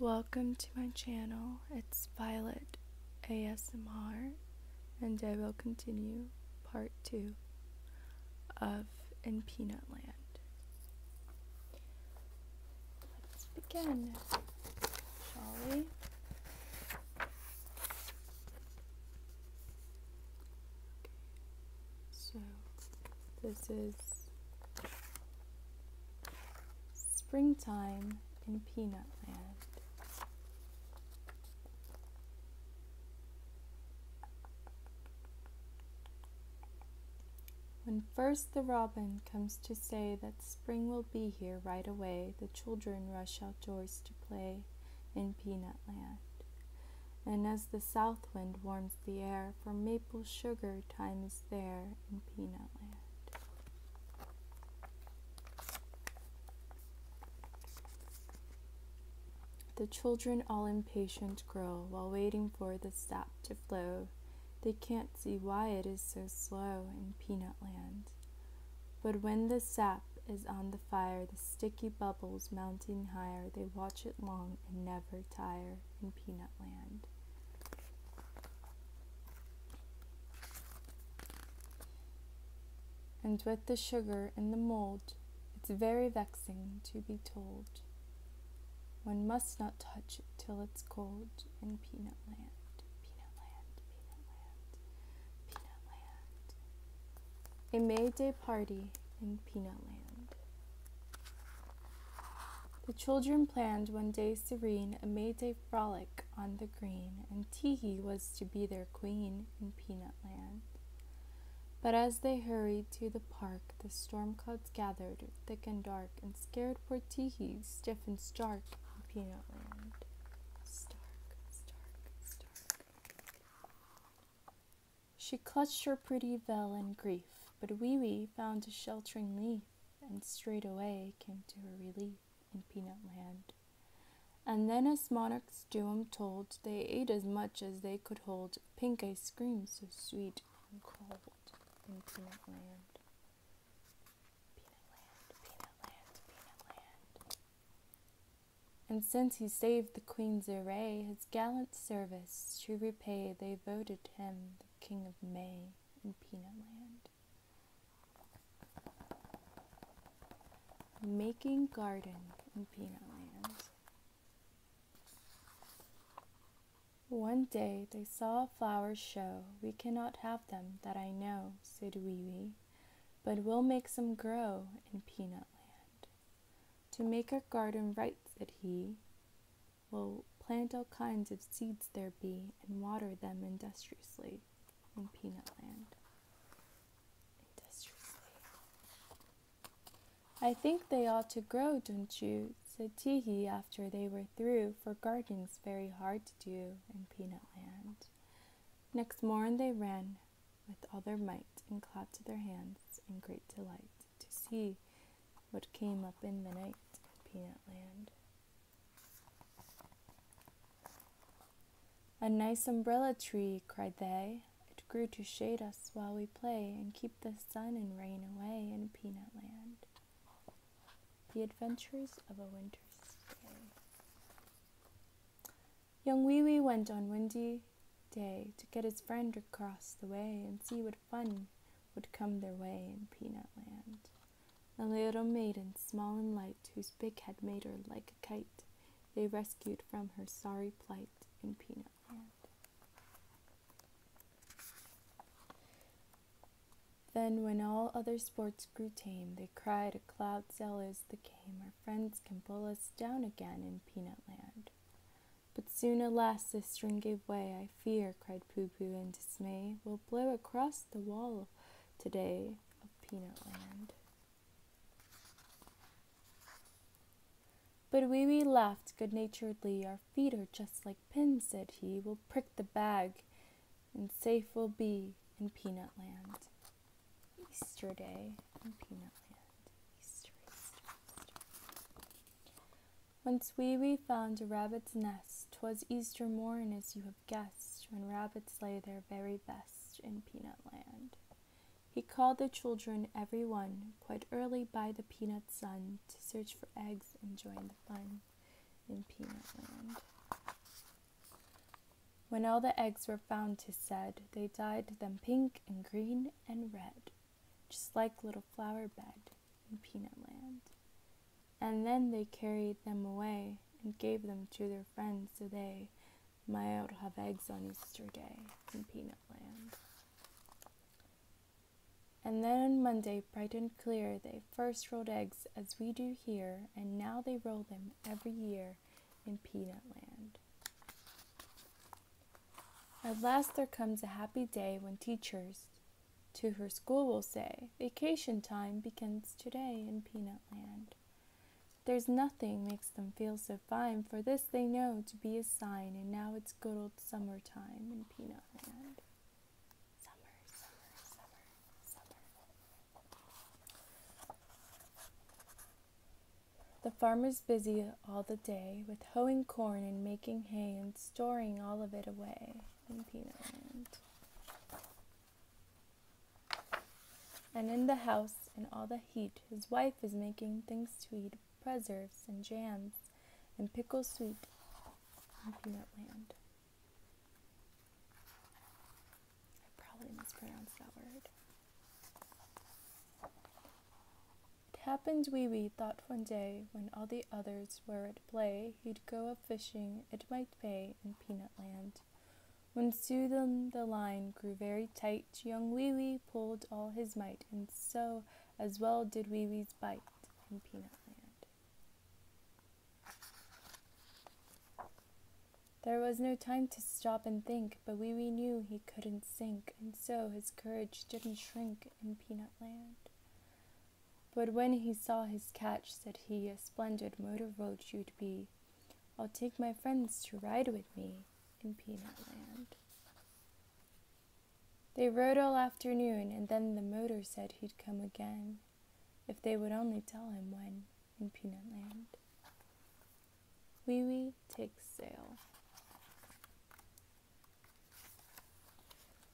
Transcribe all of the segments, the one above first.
Welcome to my channel, it's Violet ASMR, and I will continue part 2 of In Peanut Land. Let's begin, shall we? So, this is Springtime in Peanut Land. When first the robin comes to say that spring will be here right away, the children rush outdoors to play in Peanut Land. And as the south wind warms the air, for maple sugar time is there, in Peanut Land. The children all impatient grow while waiting for the sap to flow. They can't see why it is so slow in peanut land. But when the sap is on the fire, the sticky bubbles mounting higher, they watch it long and never tire in Peanut Land. And with the sugar in the mold, it's very vexing to be told. One must not touch it till it's cold in Peanut Land, Peanut Land. A May Day party in Peanut Land. The children planned one day serene a May Day frolic on the green, and Teehee was to be their queen in Peanut Land. But as they hurried to the park, the storm clouds gathered thick and dark and scared poor Teehee stiff and stark in Peanut Land. Stark, stark, stark. She clutched her pretty veil in grief, but Wee Wee found a sheltering leaf and straightway came to her relief in Peanut Land. And then, as monarchs Doom told, they ate as much as they could hold, pink ice cream so sweet and cold in Peanut Land. Peanut Land, And since he saved the Queen's array, his gallant service to repay, they voted him the King of May in Peanut Land. Making garden in Peanut Land. One day they saw flowers show. We cannot have them, that I know, said Wee Wee, but we'll make some grow in Peanut Land. To make our garden right, said he, will plant all kinds of seeds there be and water them industriously in peanut land. Industriously. I think they ought to grow, don't you? said Teehee after they were through, for gardening's very hard to do in peanut land. Next morn they ran with all their might and clapped their hands in great delight to see what came up in the night at Peanut Land. A nice umbrella tree, cried they. It grew to shade us while we play and keep the sun and rain away in Peanut Land. The Adventures of a Winter's Day. Young Wee Wee went on windy day to get his friend across the way and see what fun would come their way in Peanut Land. A little maiden, small and light, whose big had made her like a kite, they rescued from her sorry plight in Peanut Land. Then, when all other sports grew tame, they cried, A cloud cell is the game, our friends can pull us down again in Peanut Land. But soon, alas, the string gave way. I fear, cried Pooh Pooh in dismay, will blow across the wall today of Peanut Land. But Wee Wee laughed good naturedly. Our feet are just like pins, said he. We'll prick the bag, and safe we'll be in Peanut Land. Easter Day in Peanut Land. Once wee wee found a rabbit's nest, 'twas Easter morn as you have guessed, when rabbits lay their very best in peanut land. He called the children every one, quite early by the peanut sun, to search for eggs and join the fun in peanut land. When all the eggs were found, found, 'tis said, they dyed them pink and green and red, just like little flower bed in Peanut Land. And then they carried them away and gave them to their friends so they might have eggs on Easter Day in Peanut Land. And then on Monday, bright and clear, they first rolled eggs as we do here, and now they roll them every year in Peanut Land. At last there comes a happy day when teachers, to her school will say, Vacation time begins today in Peanut Land. There's nothing makes them feel so fine, for this they know to be a sign, and now it's good old summer time in Peanut Land. Summer, summer, summer, summer. The farmer's busy all the day with hoeing corn and making hay and storing all of it away in Peanut Land. And in the house, in all the heat, his wife is making things to eat preserves and jams and pickles sweet in Peanut Land. I probably mispronounced that word. It happened Wee Wee thought one day when all the others were at play, he'd go fishing, it might pay in peanut land. When soon the line grew very tight, young Wee Wee pulled all his might, and so as well did Wee Wee's bite in peanut land. There was no time to stop and think, but Wee Wee knew he couldn't sink, and so his courage didn't shrink in peanut land. But when he saw his catch, said he, A splendid motor road you'd be. I'll take my friends to ride with me in Peanut Land. They rode all afternoon, and then the motor said he'd come again, if they would only tell him when in Peanut Land. Wee Wee take sail.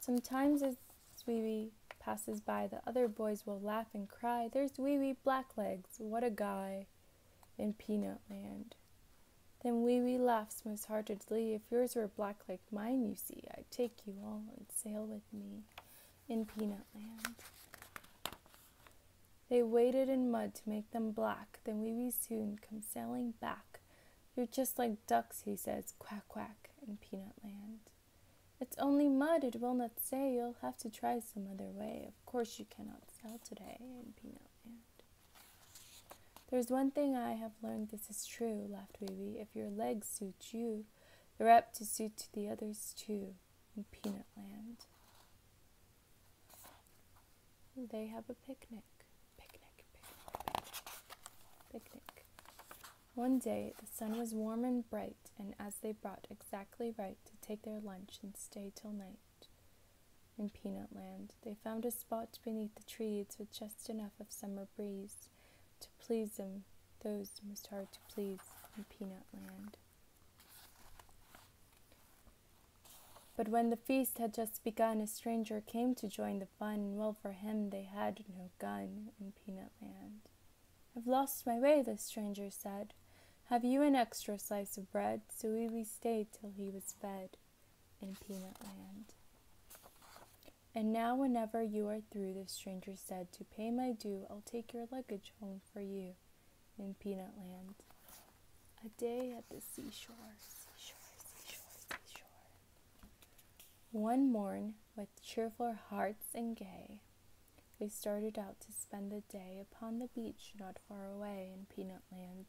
Sometimes as as Wee Wee passes by, the other boys will laugh and cry, There's Wee Wee Blacklegs, what a guy in Peanut Land. Then Wee Wee laughs most heartedly, If yours were black like mine, you see, I'd take you all and sail with me in Peanut Land. They waded in mud to make them black. Then Wee Wee soon comes sailing back. You're just like ducks, he says, quack quack in Peanut Land. It's only mud, it will not say. You'll have to try some other way. Of course, you cannot sell today in Peanut Land. There's one thing I have learned this is true, laughed Weeby. If your legs suit you, they're apt to suit the others too in Peanut Land. They have a Picnic, picnic, picnic. picnic. One day the sun was warm and bright, and as they brought exactly right to take their lunch and stay till night in Peanut Land, they found a spot beneath the trees with just enough of summer breeze to please them, those most hard to please in Peanut Land. But when the feast had just begun, a stranger came to join the Fine fun, well for him they had no gun in Peanut Land. I've lost my way, the stranger said. Have you an extra slice of bread? So he stayed till he was fed in Peanut Land. And now, whenever you are through, the stranger said, to pay my due, I'll take your luggage home for you in Peanut Land. A day at the seashore, seashore, seashore, seashore. One morn, with cheerful hearts and gay, we started out to spend the day upon the beach not far away in Peanut Land.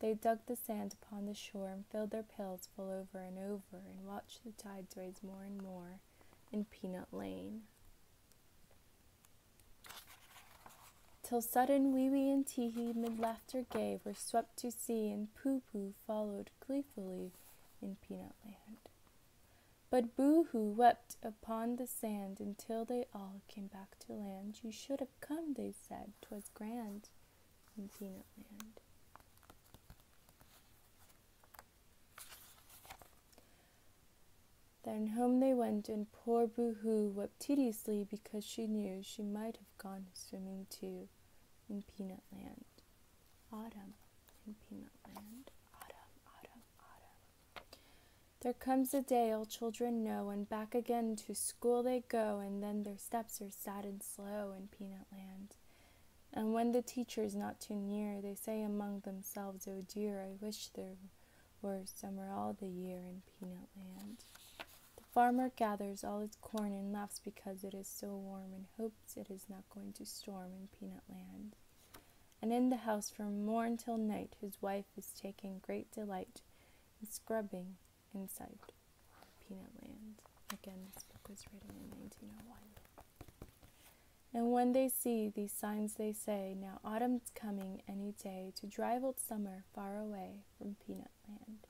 They dug the sand upon the shore and filled their pails full over and over and watched the tides rise more and more in Peanut Lane. Till sudden Wee Wee and Tee Hee mid laughter gay were swept to sea and Pooh Pooh followed gleefully in Peanut Land. But Boo Hoo wept upon the sand until they all came back to land. You should have come, they said, 'twas grand in Peanut Land. Then home they went, and poor Boo Hoo wept tediously because she knew she might have gone swimming too in Peanut Land. Autumn in Peanut Land. Autumn, autumn, autumn. There comes a day all children know, and back again to school they go, and then their steps are sad and slow in Peanut Land. And when the teacher's not too near, they say among themselves, Oh dear, I wish there were summer all the year in Peanut Land. The farmer gathers all his corn and laughs because it is so warm and hopes it is not going to storm in Peanut Land. And in the house from morn till night, his wife is taking great delight in scrubbing inside Peanut Land. Again, this book was written in 1901. And when they see these signs, they say, Now autumn's coming any day to drive old summer far away from Peanut Land.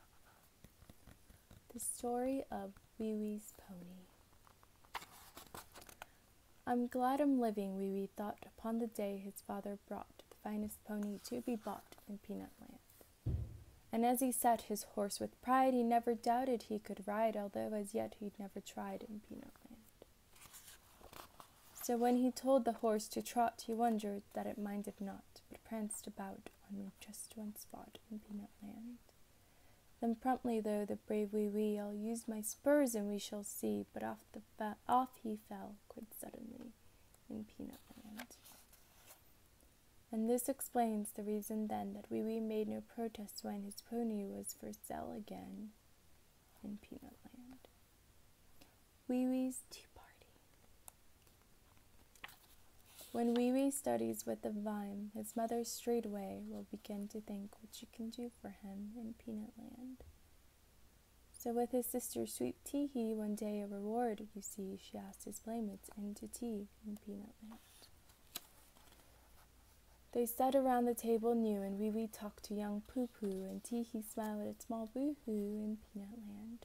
The Story of Wee Wee's Pony. I'm glad I'm living, Wee Wee thought upon the day his father brought the finest pony to be bought in Peanut Land. And as he sat his horse with pride, he never doubted he could ride, although as yet he'd never tried in Peanut Land. So when he told the horse to trot, he wondered that it minded not, but pranced about on just one spot in Peanut Land. Then promptly, though the brave wee wee, I'll use my spurs and we shall see. But off the off he fell quite suddenly in Peanut Land. And this explains the reason then that Wee Wee made no protest when his pony was for sale again in Peanut Land. Wee Wee's Tea Party. When Wee Wee studies with the vine, his mother straightway will begin to think what she can do for him in Peanut Land. So, with his sister Sweet Tea Hee, one day a reward, you see, she asked his playmates in to tea in Peanut Land. They sat around the table new, and Wee Wee talked to young Pooh Pooh, and Tee Hee smiled at a small Boo Hoo in Peanut Land.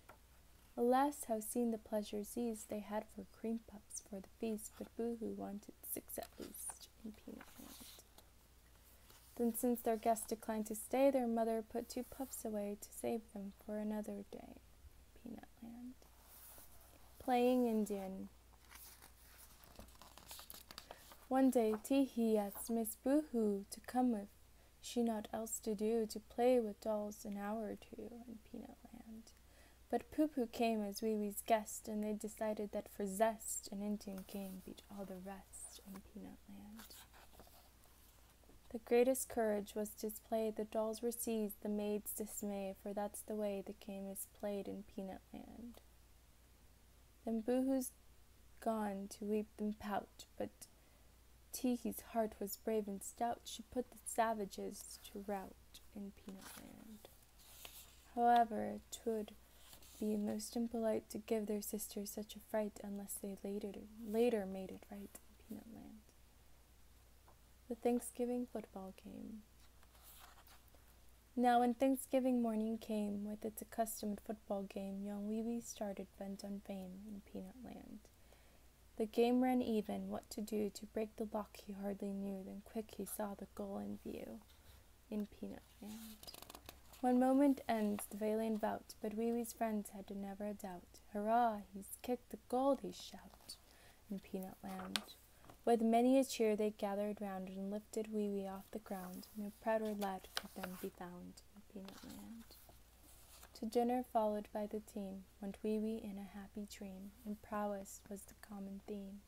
Alas, how seen the pleasures seas they had for cream pups for the feast, but Boo Hoo wanted six at least, in peanut land. Then, since their guests declined to stay, their mother put two puffs away to save them for another day, peanut land. Playing Indian. One day, Teehee asked Miss Boo Hoo to come with. She naught else to do to play with dolls an hour or two in Peanut Land. But Poopoo came as Wee Wee's guest, and they decided that for zest, an Indian king beat all the rest in Peanut Land. The greatest courage was displayed, the dolls were seized, the maids dismayed, for that's the way the game is played in Peanut Land. Then Boohoo's gone to weep and pout, but Teehee's heart was brave and stout, she put the savages to rout in Peanut Land. However, it would be most impolite to give their sisters such a fright unless they later, later made it right in Peanut Land. The Thanksgiving football game. Now, when Thanksgiving morning came with its accustomed football game, young Wee Wee started bent on fame in Peanut Land. The game ran even, what to do to break the lock he hardly knew, then quick he saw the goal in view in Peanut Land. One moment ends the valiant bout, but Wee Wee's friends had never a doubt. Hurrah, he's kicked the goal, they shout in Peanut Land. With many a cheer they gathered round and lifted Wee Wee off the ground. No prouder lad could then be found in Peanut Land. To dinner followed by the team went Wee Wee in a happy dream, and prowess was common theme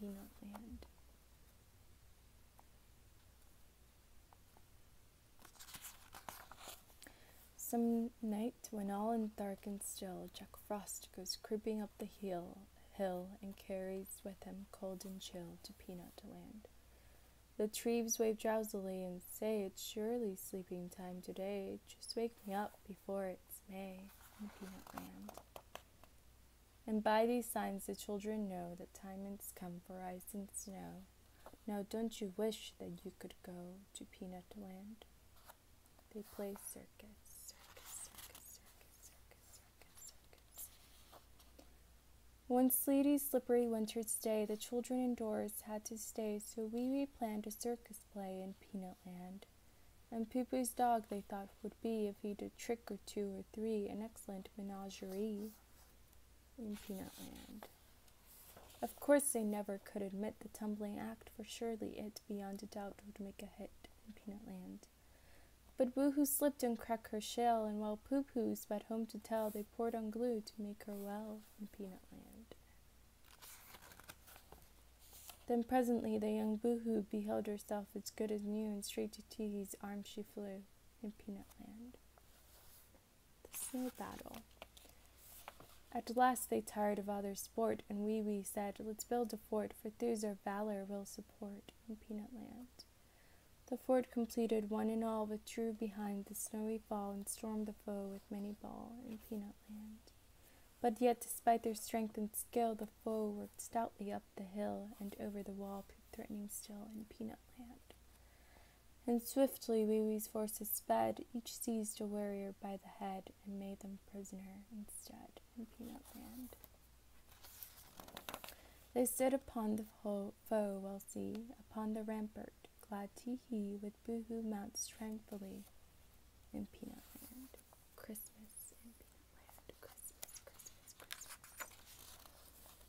in Land. Some night when all in dark and still, Jack Frost goes creeping up the hill, hill and carries with him cold and chill to Peanut Land. The trees wave drowsily and say it's surely sleeping time today. Just wake me up before it's May in Peanut Land. And by these signs the children know that time has come for ice and snow. Now don't you wish that you could go to Peanut Land? They play circus, circus, circus, circus, circus, circus, circus. One sleety, slippery winter's day, the children indoors had to stay, so we Wee planned a circus play in Peanut Land mind. And Poopoo's dog, they thought, would be, if he did trick or two or three, an excellent menagerie in Peanutland. Of course, they never could admit the tumbling act, for surely it, beyond a doubt, would make a hit in Peanutland. But boo Boohoo slipped and cracked her shell, and while Pooh Pooh sped home to tell, they poured on glue to make her well in Peanutland. Then presently the young boohoo beheld herself as good as new, and straight to Tee Hee's arms she flew in Peanut Land. The Snow Battle. At last they tired of other sport, and Wee Wee said, Let's build a fort, for thews our valor will support in Peanut Land. The fort completed, one and all withdrew behind the snowy fall and stormed the foe with many ball in Peanut Land. But yet, despite their strength and skill, the foe worked stoutly up the hill and over the wall threatening still in peanut land. And swiftly Wee Wee's forces sped, each seized a warrior by the head and made them prisoner instead in peanut land. They stood upon the foe, well see, upon the rampart, glad to he with boo boohoo mounts tranquilly in peanut land. Christmas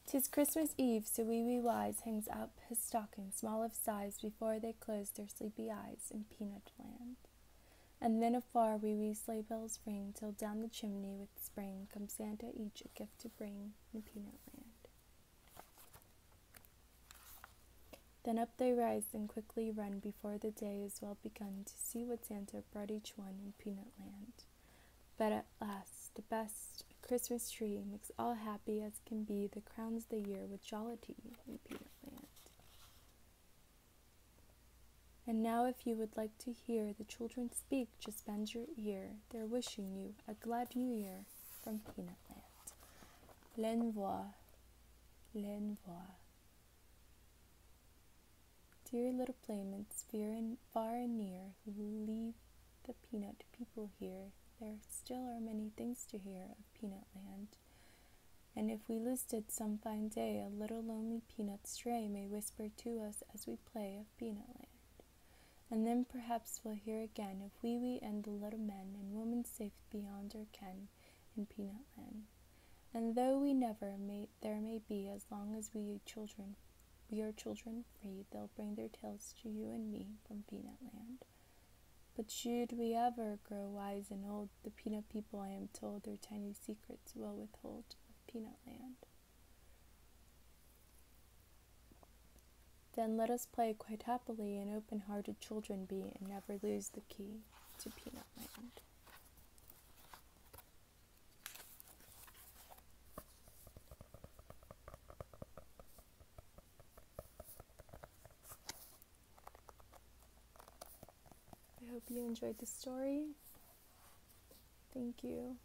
Tis Christmas Eve, so Wee Wee Wise hangs up his stocking, small of size, before they close their sleepy eyes in Peanutland. And then afar Wee Wee sleigh bells ring, till down the chimney with spring comes Santa each a gift to bring in Peanutland. Then up they rise and quickly run before the day is well begun to see what Santa brought each one in peanut land. But at last, the best Christmas tree makes all happy as can be The crowns the year with jollity in peanut land. And now, if you would like to hear the children speak, just bend your ear. They're wishing you a glad new year from Peanut Land. L'envoi, l'envoi. Dear little playmates, far and near, who leave the peanut people here. There still are many things to hear of peanut land. And if we listed some fine day, a little lonely peanut stray may whisper to us as we play of peanut land. And then perhaps we'll hear again of Wee Wee and the little men and women safe beyond our ken, in peanut land. And though we never may, there may be, as long as we children, we are children free, they'll bring their tales to you and me from peanut land. But should we ever grow wise and old, the peanut people, I am told, their tiny secrets will withhold of peanut land. Then let us play quite happily and open hearted children be, and never lose the key to peanut land. I hope you enjoyed the story. Thank you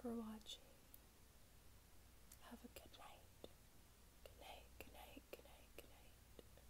for watching. Have a good night. Good night, good night, good night, good night.